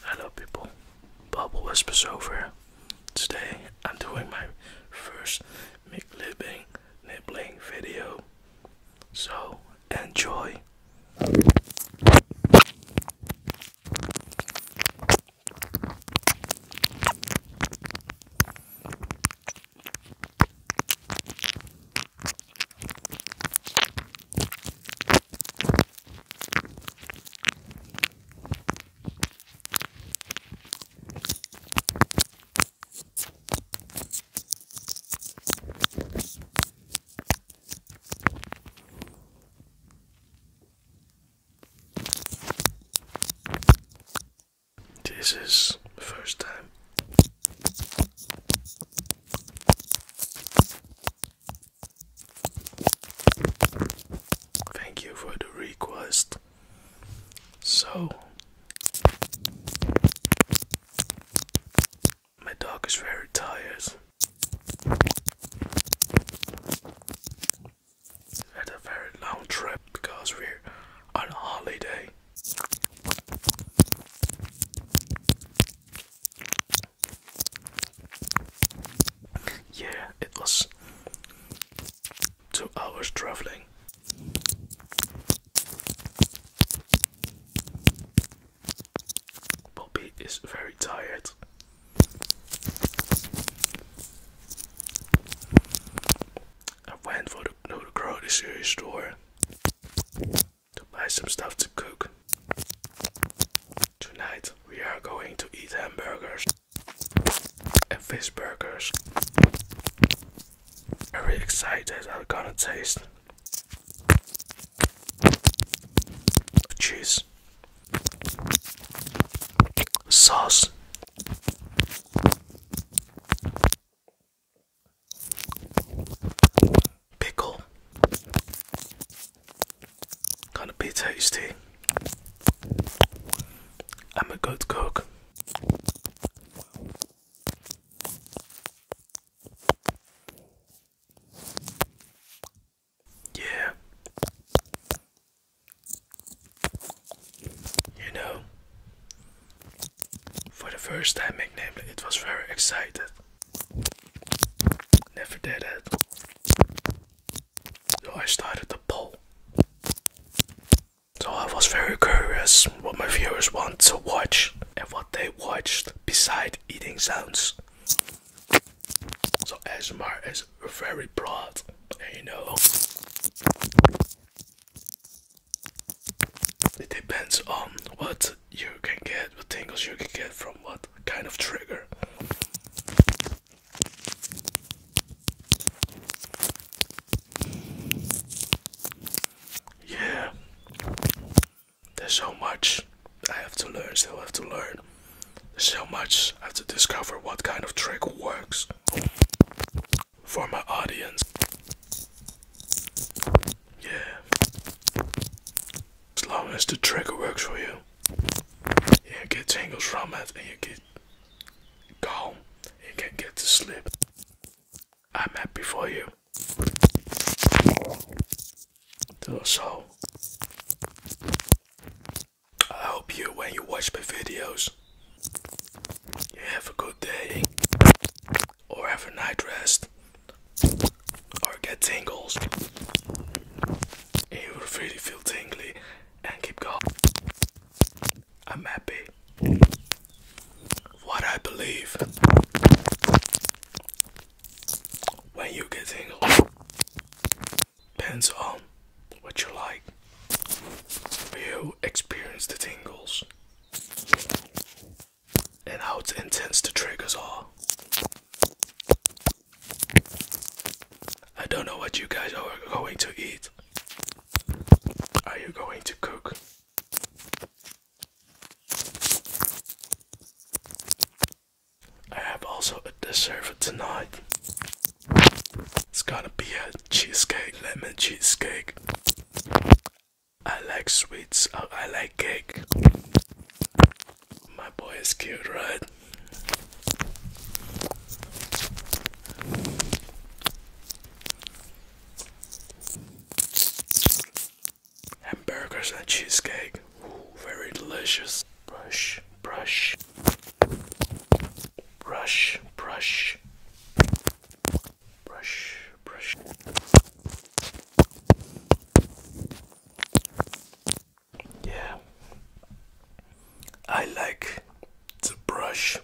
Hello people, Bubble Whispers over. Today I'm doing my first McLibbing nibbling video. So enjoy. This is the first time Thank you for the request. So, my dog is very tired. Had a very long trip because we're on a holiday. Yeah, it was two hours traveling. Bobby is very tired. I went for the, grocery store to buy some stuff to cook. Tonight we are going to eat hamburgers and fish burgers. Very excited, I'm gonna taste cheese, sauce, pickle, gonna be tasty. I'm a good cook. Yeah, you know, for the first time McNamee, it was very excited. Never did it. So I started the poll. So I was very curious what my viewers want to watch and what they watched beside eating sounds. So as ASMR as very broad, you know. It depends on what you can get, what tingles you can get from what kind of trigger. Yeah, there's so much I have to learn, still have to learn so much I have to discover what kind of trick works for my audience. Yeah. As long as the trick works for you, you get tingles from it and you get calm, you can get to sleep. I'm happy for you. Do So, I hope you when you watch my videos. You have a good day, or have a night rest, or get tingles. you will really feel tingly and keep going. I'm happy. What I believe. When you get single, depends on what you like. You experience the tingles and how intense the triggers are. I don't know what you guys are going to eat. Are you going to cook? I have also a dessert for tonight. It's gonna be a cheesecake, lemon cheesecake. I like sweets, uh, I like cake. My boy is cute, right? Hamburgers and cheesecake. very delicious. Brush, brush. Brush, brush. Brush, brush. Yeah. I like the brush.